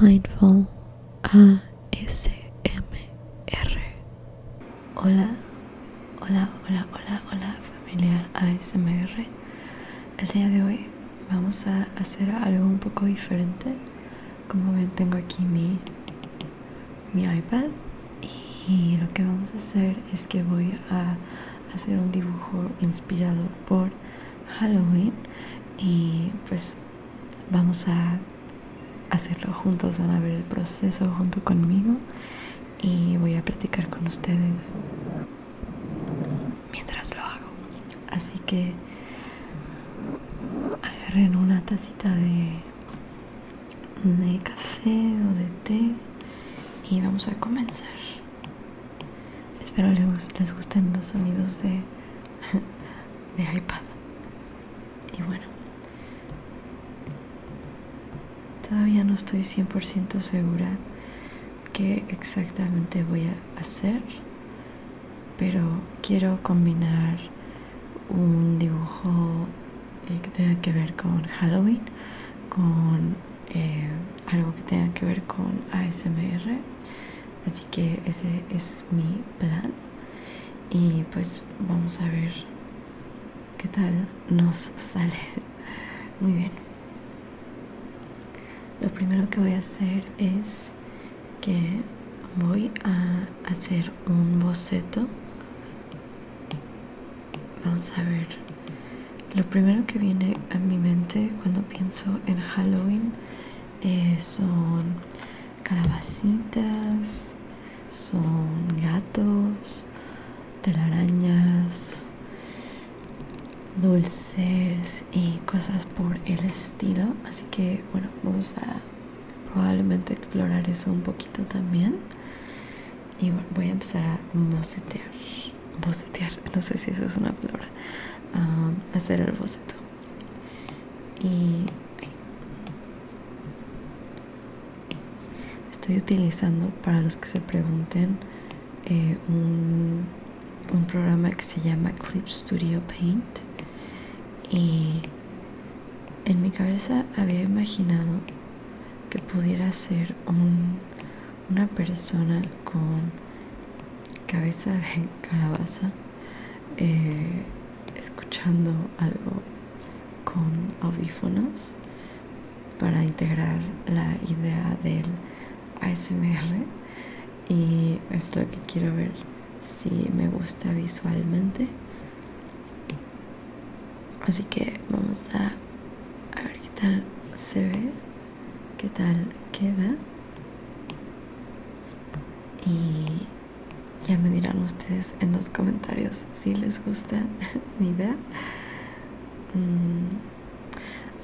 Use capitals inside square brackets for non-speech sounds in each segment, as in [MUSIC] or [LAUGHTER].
Mindful ASMR. Hola, hola, hola, hola, hola familia ASMR. El día de hoy vamos a hacer algo un poco diferente. Como ven tengo aquí mi, mi iPad y lo que vamos a hacer es que voy a hacer un dibujo inspirado por Halloween y pues vamos a hacerlo juntos, van a ver el proceso junto conmigo y voy a practicar con ustedes mientras lo hago. Así que agarren una tacita de, café o de té y vamos a comenzar. Espero les gusten los sonidos de [LAUGHS] de iPad y bueno todavía no estoy 100% segura qué exactamente voy a hacer pero quiero combinar un dibujo eh, que tenga que ver con Halloween con eh, algo que tenga que ver con ASMR Así que ese es mi plan. Y pues vamos a ver qué tal nos sale. [LAUGHS] Muy bien. Lo primero que voy a hacer es que voy a hacer un boceto. Vamos a ver. Lo primero que viene a mi mente cuando pienso en Halloween eh, son calabacitas, son gatos, telarañas, dulces y cosas por el estilo. Así que bueno, vamos a probablemente explorar eso un poquito también. Y bueno, voy a empezar a bocetear. Bocetear, [LAUGHS] no sé si esa es una palabra. Ah, hacer el boceto y estoy utilizando para los que se pregunten eh, un, programa que se llama Clip Studio Paint y en mi cabeza había imaginado que pudiera ser una persona con cabeza de calabaza eh, escuchando algo con audífonos para integrar la idea del ASMR y es lo que quiero ver si me gusta visualmente así que vamos a, a ver qué tal se ve qué tal queda y ya me dirán ustedes en los comentarios si les gusta [LAUGHS] mi idea mm,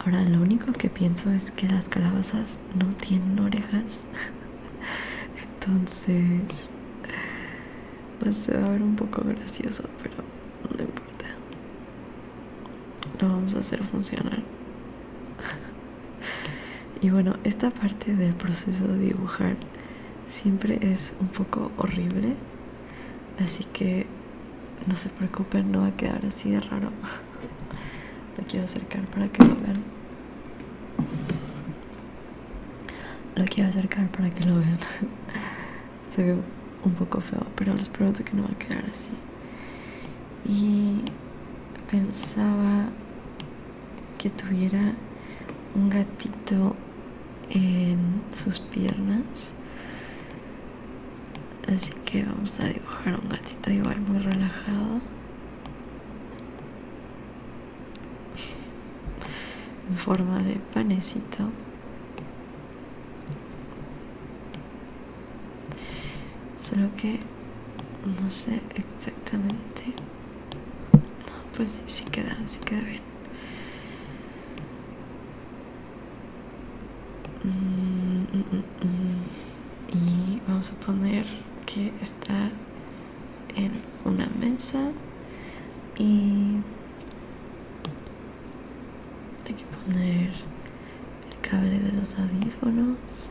ahora lo único que pienso es que las calabazas no tienen orejas [LAUGHS] entonces pues se va a ver un poco gracioso pero no importa lo vamos a hacer funcionar [LAUGHS] y bueno esta parte del proceso de dibujar siempre es un poco horrible así que no se preocupen no va a quedar así de raro [LAUGHS] lo quiero acercar para que lo vean lo quiero acercar para que lo vean [LAUGHS] se ve un poco feo pero les prometo que no va a quedar así y pensaba que tuviera un gatito en sus piernas así que vamos a dibujar un gatito igual muy relajado [LAUGHS] en forma de panecito Solo que no sé exactamente. No, pues sí, sí queda, sí queda bien. Mm, mm, mm, y vamos a poner que está en una mesa y hay que poner el cable de los audífonos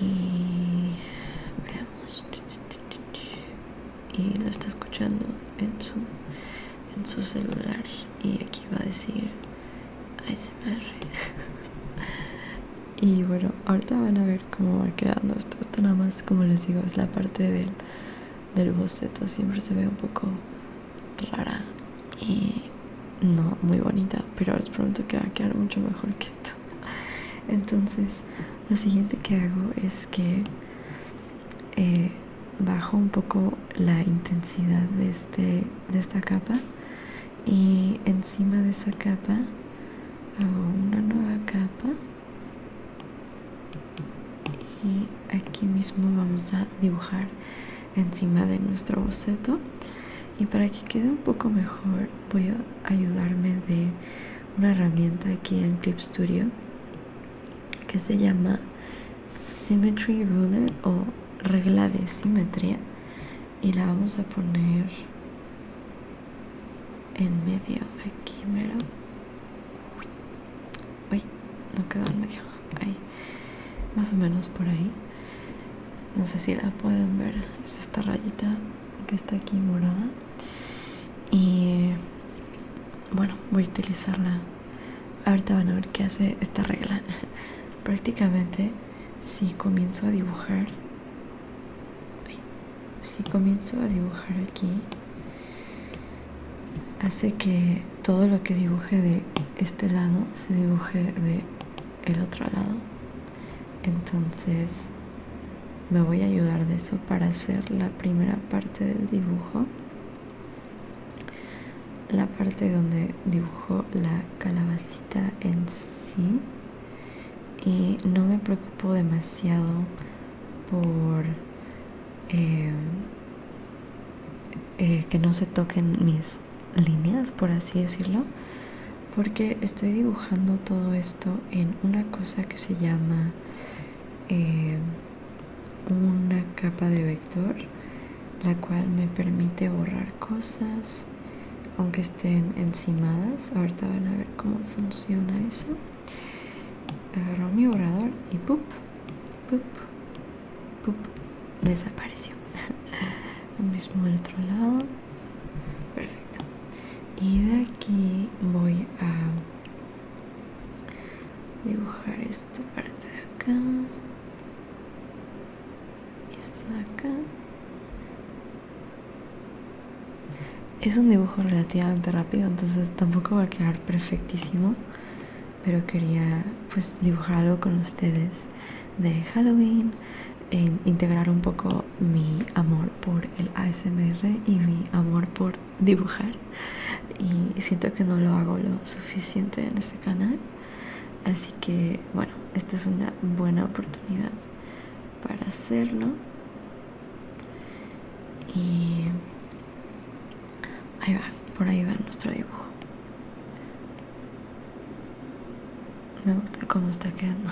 y veamos y lo está escuchando en su en su celular y aquí va a decir ASMR [LAUGHS] y bueno ahorita van a ver cómo va quedando esto esto nada más como les digo es la parte del del boceto siempre se ve un poco rara y no muy bonita pero les prometo que va a quedar mucho mejor que esto entonces lo siguiente que hago es que eh, bajo un poco la intensidad de, este, de esta capa y encima de esa capa hago una nueva capa y aquí mismo vamos a dibujar encima de nuestro boceto y para que quede un poco mejor voy a ayudarme de una herramienta aquí en Clip Studio que se llama Symmetry Ruler o regla de simetría y la vamos a poner en medio aquí mero uy no quedó en medio ahí más o menos por ahí no sé si la pueden ver es esta rayita que está aquí morada y bueno voy a utilizarla ahorita van a ver qué hace esta regla [LAUGHS] prácticamente si comienzo a dibujar si comienzo a dibujar aquí hace que todo lo que dibuje de este lado se dibuje de el otro lado. Entonces me voy a ayudar de eso para hacer la primera parte del dibujo. La parte donde dibujo la calabacita en sí. Y no me preocupo demasiado por eh, eh, que no se toquen mis líneas, por así decirlo, porque estoy dibujando todo esto en una cosa que se llama eh, una capa de vector, la cual me permite borrar cosas aunque estén encimadas. Ahorita van a ver cómo funciona eso. Agarro mi borrador y pup, pup desapareció [LAUGHS] lo mismo del otro lado perfecto y de aquí voy a dibujar esta parte de acá y esta de acá es un dibujo relativamente rápido entonces tampoco va a quedar perfectísimo pero quería pues dibujar algo con ustedes de Halloween integrar un poco mi amor por el ASMR y mi amor por dibujar y siento que no lo hago lo suficiente en este canal así que bueno esta es una buena oportunidad para hacerlo y ahí va por ahí va nuestro dibujo me gusta cómo está quedando.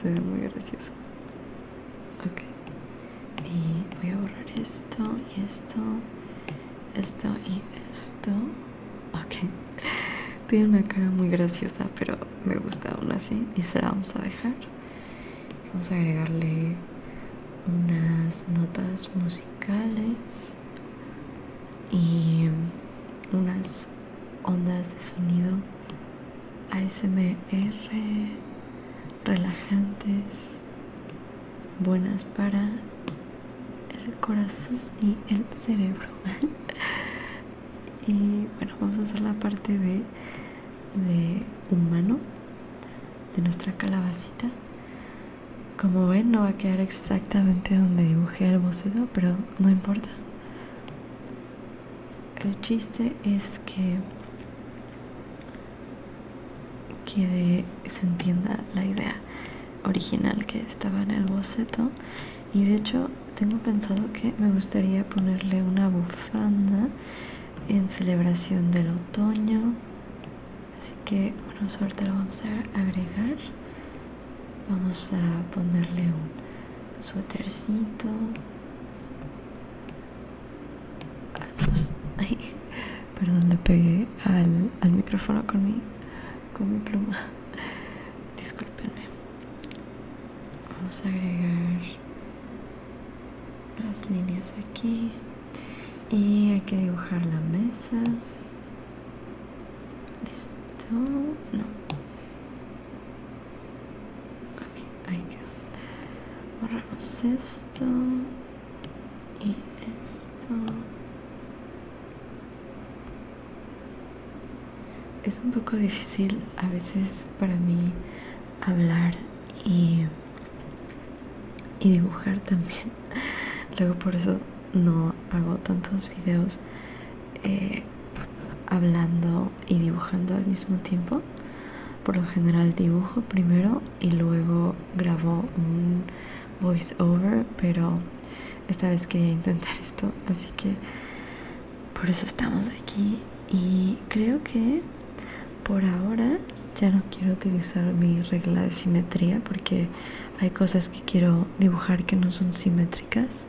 Se ve muy gracioso. Ok. Y voy a borrar esto y esto, esto y esto. Ok. Tiene una cara muy graciosa, pero me gusta aún así. Y se la vamos a dejar. Vamos a agregarle unas notas musicales y unas ondas de sonido ASMR relajantes buenas para el corazón y el cerebro [LAUGHS] y bueno vamos a hacer la parte de, de humano de nuestra calabacita como ven no va a quedar exactamente donde dibujé el boceto, pero no importa. El chiste es que que se entienda la idea original que estaba en el boceto y de hecho tengo pensado que me gustaría ponerle una bufanda en celebración del otoño así que bueno suerte lo vamos a agregar vamos a ponerle un suétercito ah, pues, [LAUGHS] perdón, le pegué al, micrófono con mi, con mi pluma. [LAUGHS] Discúlpenme. Vamos a agregar las líneas aquí. Y hay que dibujar la mesa. Esto no. Ok, ahí queda. Borramos esto y esto. Es un poco difícil a veces para mí hablar y, y dibujar también luego por eso no hago tantos videos eh, hablando y dibujando al mismo tiempo por lo general dibujo primero y luego grabo un voice over pero esta vez quería intentar [LAUGHS] esto así que por eso estamos aquí y creo que por ahora ya no quiero utilizar mi regla de simetría porque hay cosas que quiero dibujar que no son simétricas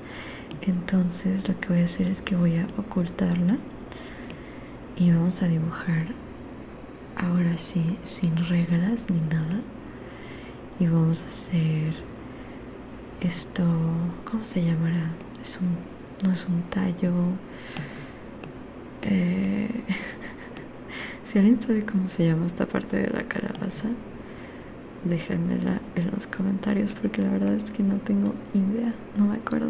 entonces lo que voy a hacer es que voy a ocultarla y vamos a dibujar ahora sí sin reglas ni nada y vamos a hacer esto cómo se llamará es un no es un tallo eh, [LAUGHS] [LAUGHS] si alguien sabe cómo se llama esta parte de la calabaza déjenmela en los comentarios porque la verdad es que no tengo idea no me acuerdo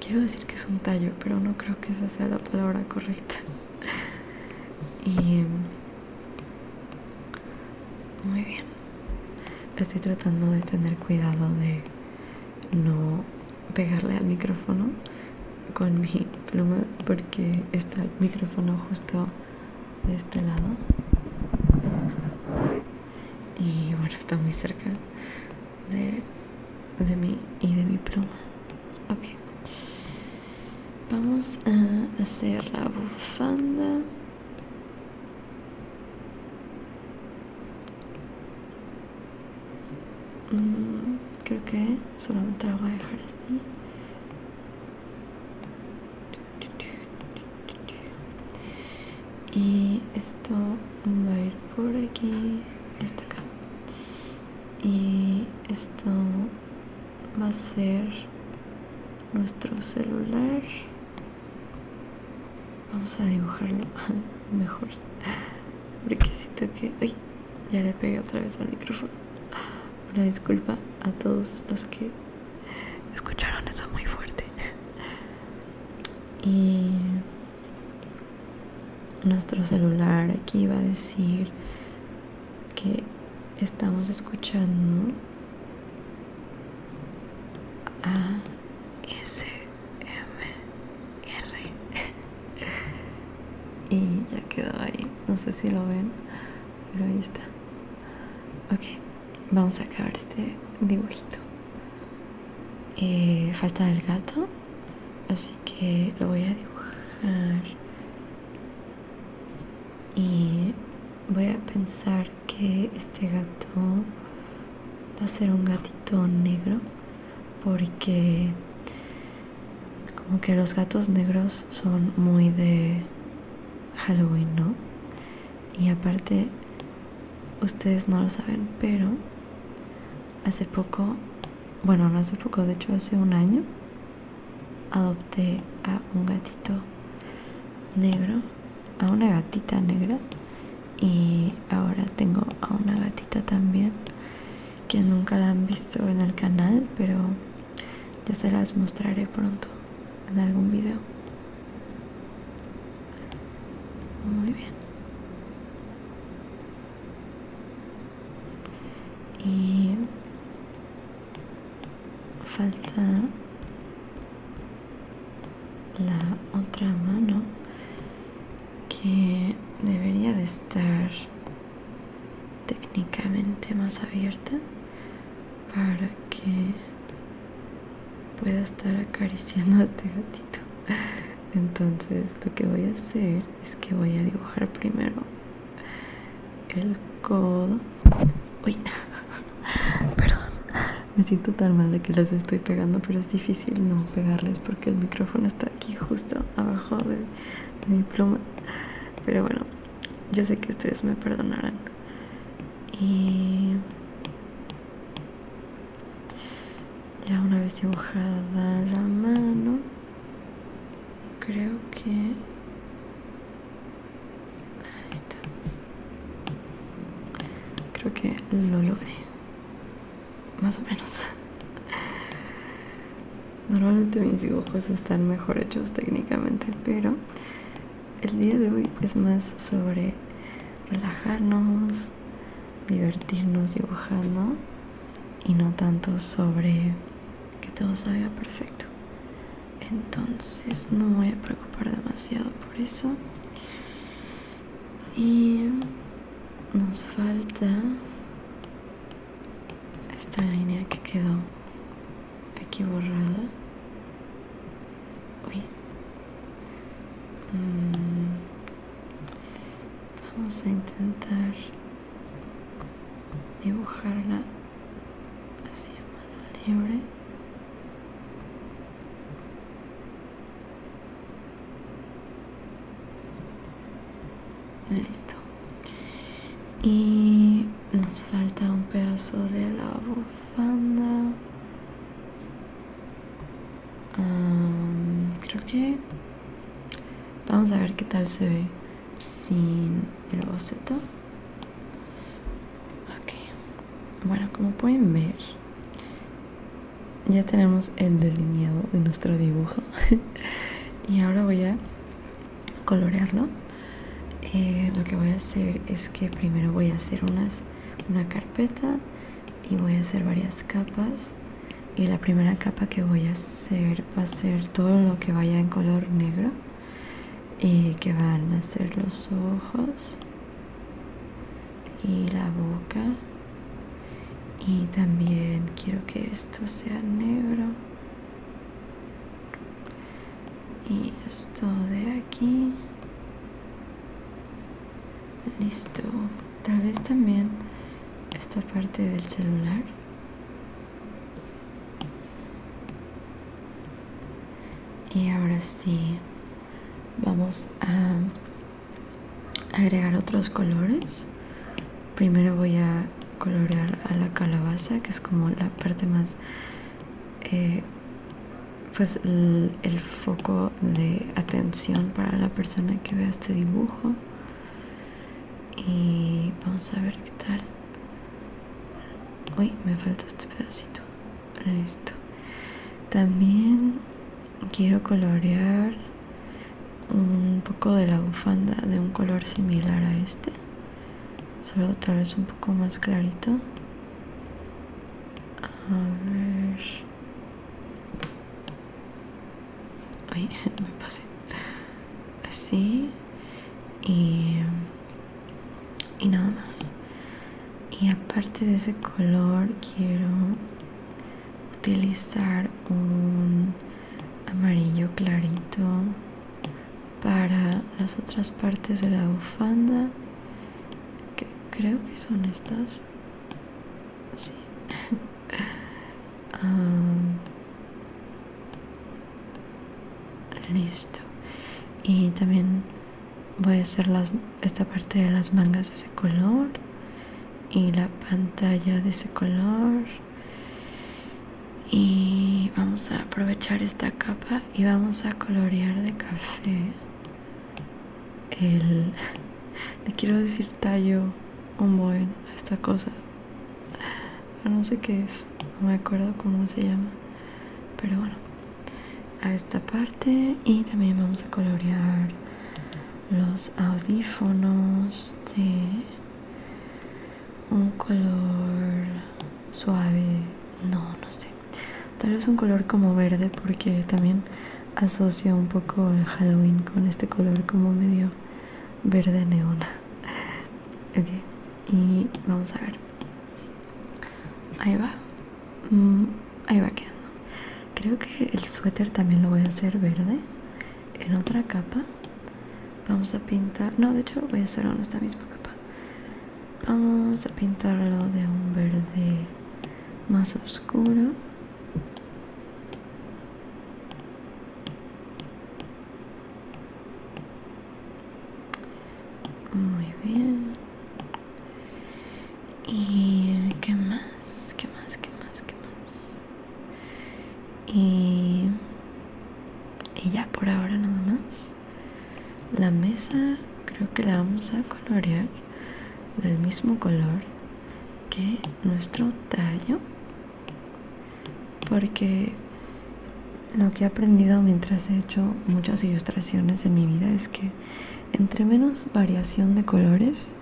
quiero decir que es un tallo pero no creo que esa sea la palabra correcta [LAUGHS] y muy bien estoy tratando de tener cuidado de no pegarle al micrófono con mi pluma porque está el micrófono justo de este lado y bueno está muy cerca de, mí y de mi pluma ok vamos a hacer la bufanda mm, creo que solamente la voy a dejar así y esto va a ir por aquí hasta acá y esto va a ser nuestro celular vamos a dibujarlo [LAUGHS] mejor porque que ya le pegué otra vez al micrófono. Una disculpa a todos los que escucharon eso muy fuerte. Y nuestro celular aquí va a decir que estamos escuchando a S M [LAUGHS] y ya quedó ahí no sé si lo ven pero ahí está ok vamos a acabar este dibujito eh, falta el gato así que lo voy a dibujar y voy a pensar que este gato va a ser un gatito negro porque como que los gatos negros son muy de Halloween, ¿no? Y aparte, ustedes no lo saben, pero hace poco, bueno, no hace poco, de hecho hace un año, adopté a un gatito negro, a una gatita negra y ahora tengo a una gatita también que nunca la han visto en el canal, pero ya se las mostraré pronto en algún video. Muy bien. Y falta la otra mano que debería de estar técnicamente más abierta para que pueda estar acariciando a este gatito entonces lo que voy a hacer es que voy a dibujar primero el codo uy [LAUGHS] perdón me siento tan mal de que las estoy pegando pero es difícil no pegarles porque el micrófono está aquí justo abajo de mi pluma pero bueno yo sé que ustedes me perdonarán y ya una vez dibujada la mano creo que ahí está creo que lo logré más o menos [LAUGHS] Normalmente mis dibujos están mejor hechos técnicamente, pero el día de hoy es más sobre relajarnos, divertirnos dibujando y no tanto sobre que todo salga perfecto. Entonces no me voy a preocupar demasiado por eso. Y nos falta esta línea que quedó aquí borrada mm. vamos a intentar dibujarla así a mano libre listo y nos falta un pedazo de la bufanda creo que vamos a ver qué tal se ve sin el boceto ok bueno como pueden ver ya tenemos el delineado de nuestro dibujo [LAUGHS] y ahora voy a colorearlo eh, lo que voy a hacer es que primero voy a hacer unas, una carpeta y voy a hacer varias capas y la primera capa que voy a hacer va a ser todo lo que vaya en color negro y eh, que van a ser los ojos y la boca y también quiero que esto sea negro y esto de aquí listo tal vez también esta parte del celular y ahora sí vamos a agregar otros colores primero voy a colorear a la calabaza que es como la parte más eh, pues el, el foco de atención para la persona que vea este dibujo y vamos a ver qué tal uy me falta este pedacito listo también quiero colorear un poco de la bufanda de un color similar a este solo tal vez un poco más clarito a ver Ay, [LAUGHS] me pasé así y, y nada más y aparte de ese color quiero utilizar un amarillo clarito para las otras partes de la bufanda que creo que son estas [LAUGHS] ah, listo y también voy a hacer esta parte de las mangas de ese color y la pantalla de ese color y vamos a aprovechar esta capa y vamos a colorear de café el [LAUGHS] le quiero decir tallo un a esta cosa no sé qué es no me acuerdo cómo se llama pero bueno a esta parte y también vamos a colorear los audífonos de un color suave, no, no sé. Tal vez un color como verde porque también asocio un poco el Halloween con este color como medio verde neona [LAUGHS] ok, y vamos a ver. Ahí va. Mm, ahí va quedando. Creo que el suéter también lo voy a hacer verde en otra capa vamos a pintar no de hecho voy a hacerlo en esta misma capa vamos a pintarlo de un verde más oscuro muy bien y qué más qué más qué más qué más y y ya por ahora nada más la mesa creo que la vamos a colorear del mismo color que nuestro tallo porque lo que he aprendido mientras he hecho muchas ilustraciones en mi vida es que entre menos variación de colores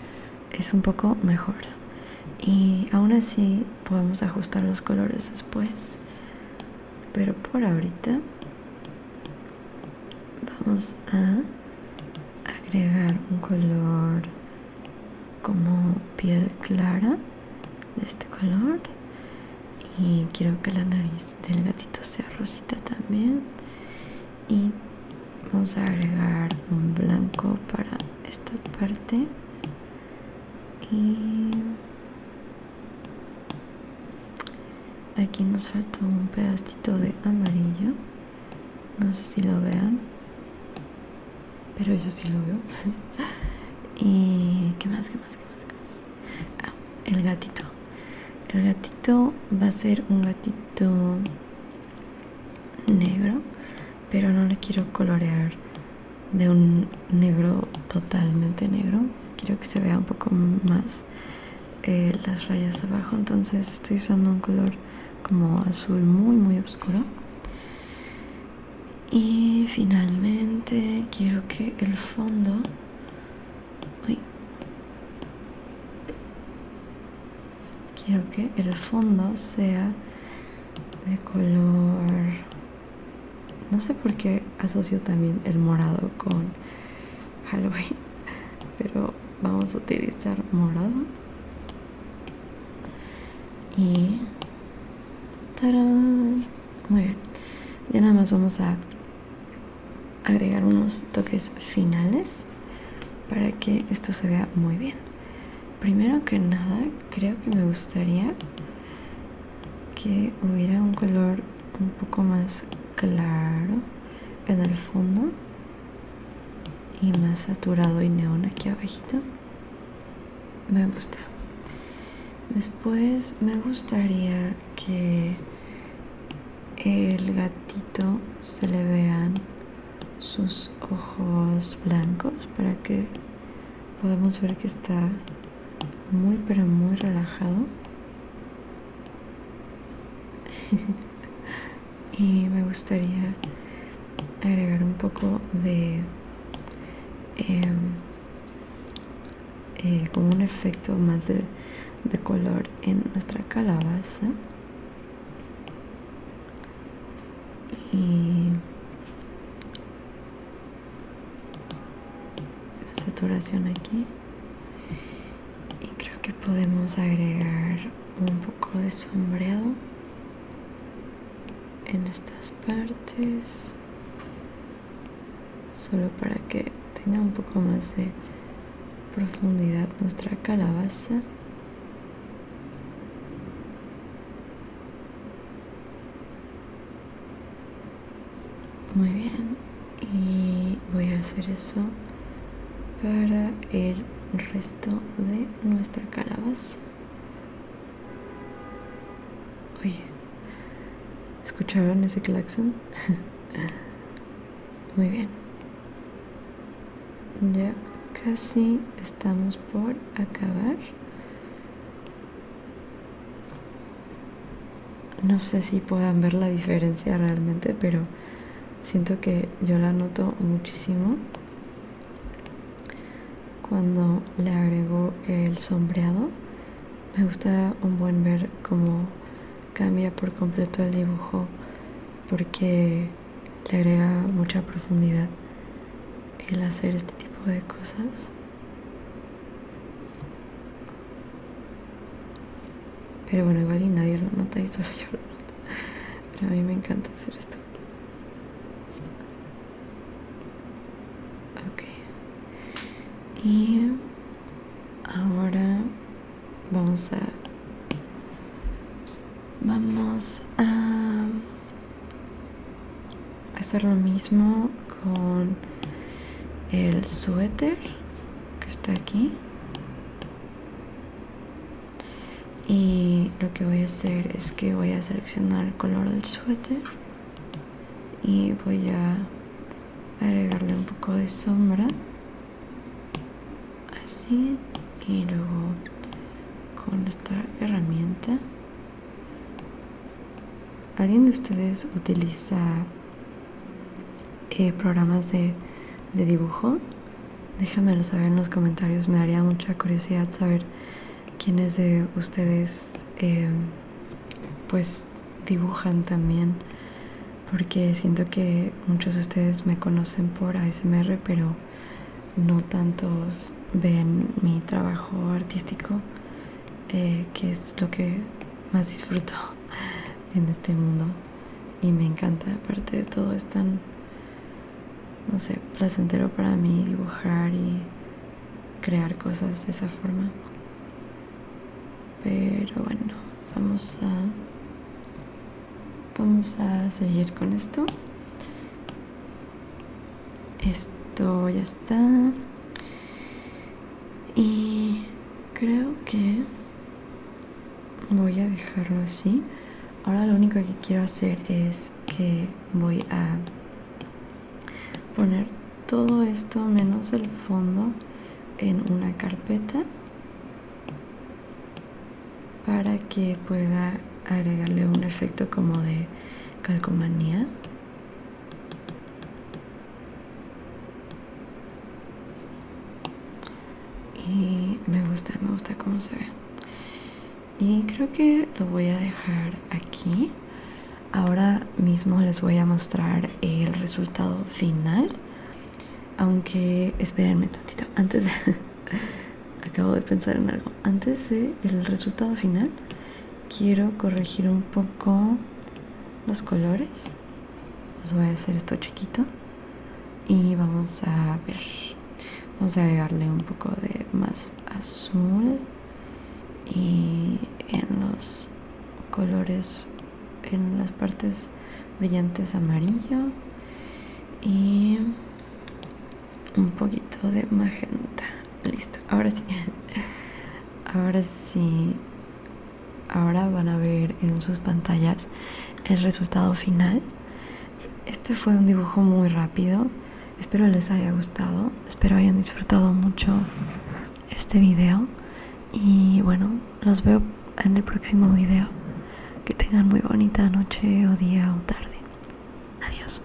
es un poco mejor y aún así podemos ajustar los colores después pero por ahorita vamos a agregar un color como piel clara de este color y quiero que la nariz del gatito sea rosita también y vamos a agregar un blanco para esta parte y aquí nos faltó un pedacito de amarillo no sé si lo vean pero yo sí lo veo [LAUGHS] y qué más qué más qué más qué más ah, el gatito el gatito va a ser un gatito negro pero no le quiero colorear de un negro totalmente negro quiero que se vea un poco más eh, las rayas abajo entonces estoy usando un color como azul muy muy oscuro y finalmente quiero que el fondo quiero que el fondo sea de color no sé por qué asocio también el morado con Halloween, pero vamos a utilizar morado. Y... Muy bien. Ya nada más vamos a agregar unos toques finales para que esto se vea muy bien. Primero que nada creo que me gustaría que hubiera un color un poco más claro en el fondo y más saturado y neón aquí abajito me gusta después me gustaría que el gatito se le vean sus ojos blancos para que podemos ver que está muy pero muy relajado [LAUGHS] y me gustaría agregar un poco de em, eh, como un efecto más de, de color en nuestra calabaza y la saturación aquí y creo que podemos agregar un poco de sombreado en estas partes solo para que tenga un poco más de profundidad nuestra calabaza muy bien. Y voy a hacer eso para el resto de nuestra calabaza. Oye, ¿escucharon ese claxon? [LAUGHS] Muy bien. Ya casi estamos por acabar no sé si puedan ver la diferencia realmente, pero siento que yo la noto muchísimo cuando le agrego el sombreado. Me gusta un buen ver cómo cambia por completo el dibujo porque le agrega mucha profundidad el hacer este tipo de cosas. Pero bueno, igual nadie lo nota y solo [LAUGHS] yo lo noto. Pero a mí me encanta hacer esto. Ok. Y ahora vamos a... Vamos a hacer lo mismo con el suéter que está aquí y lo que voy a hacer es que voy a seleccionar el color del suéter y voy a agregarle un poco de sombra así y luego con esta herramienta ¿Alguien de ustedes utiliza eh, programas de, de dibujo? Déjamelo saber en los comentarios, me daría mucha curiosidad saber quiénes de ustedes eh, pues dibujan también porque siento que muchos de ustedes me conocen por ASMR pero no tantos ven mi trabajo artístico eh, que es lo que más disfruto [LAUGHS] en este mundo y me encanta aparte de todo es tan no sé placentero para mí dibujar y crear cosas de esa forma pero bueno vamos a vamos a seguir con esto esto ya está. Y creo que voy a dejarlo así. Ahora lo único que quiero hacer es que voy a poner todo esto menos el fondo en una carpeta para que pueda agregarle un efecto como de calcomanía y me gusta me gusta cómo se ve y creo que lo voy a dejar aquí ahora mismo les voy a mostrar el resultado final aunque espérenme tantito antes de, [LAUGHS] acabo de pensar en algo antes del el resultado final quiero corregir un poco los colores. Os voy a hacer esto chiquito y vamos a ver. Vamos a agregarle un poco de más azul y en los colores, en las partes brillantes amarillo y un poquito de magenta listo ahora sí ahora sí ahora van a ver en sus pantallas el resultado final este fue un dibujo muy rápido espero les haya gustado espero hayan disfrutado mucho este video y bueno los veo en el próximo video que tengan muy bonita noche o día o tarde adiós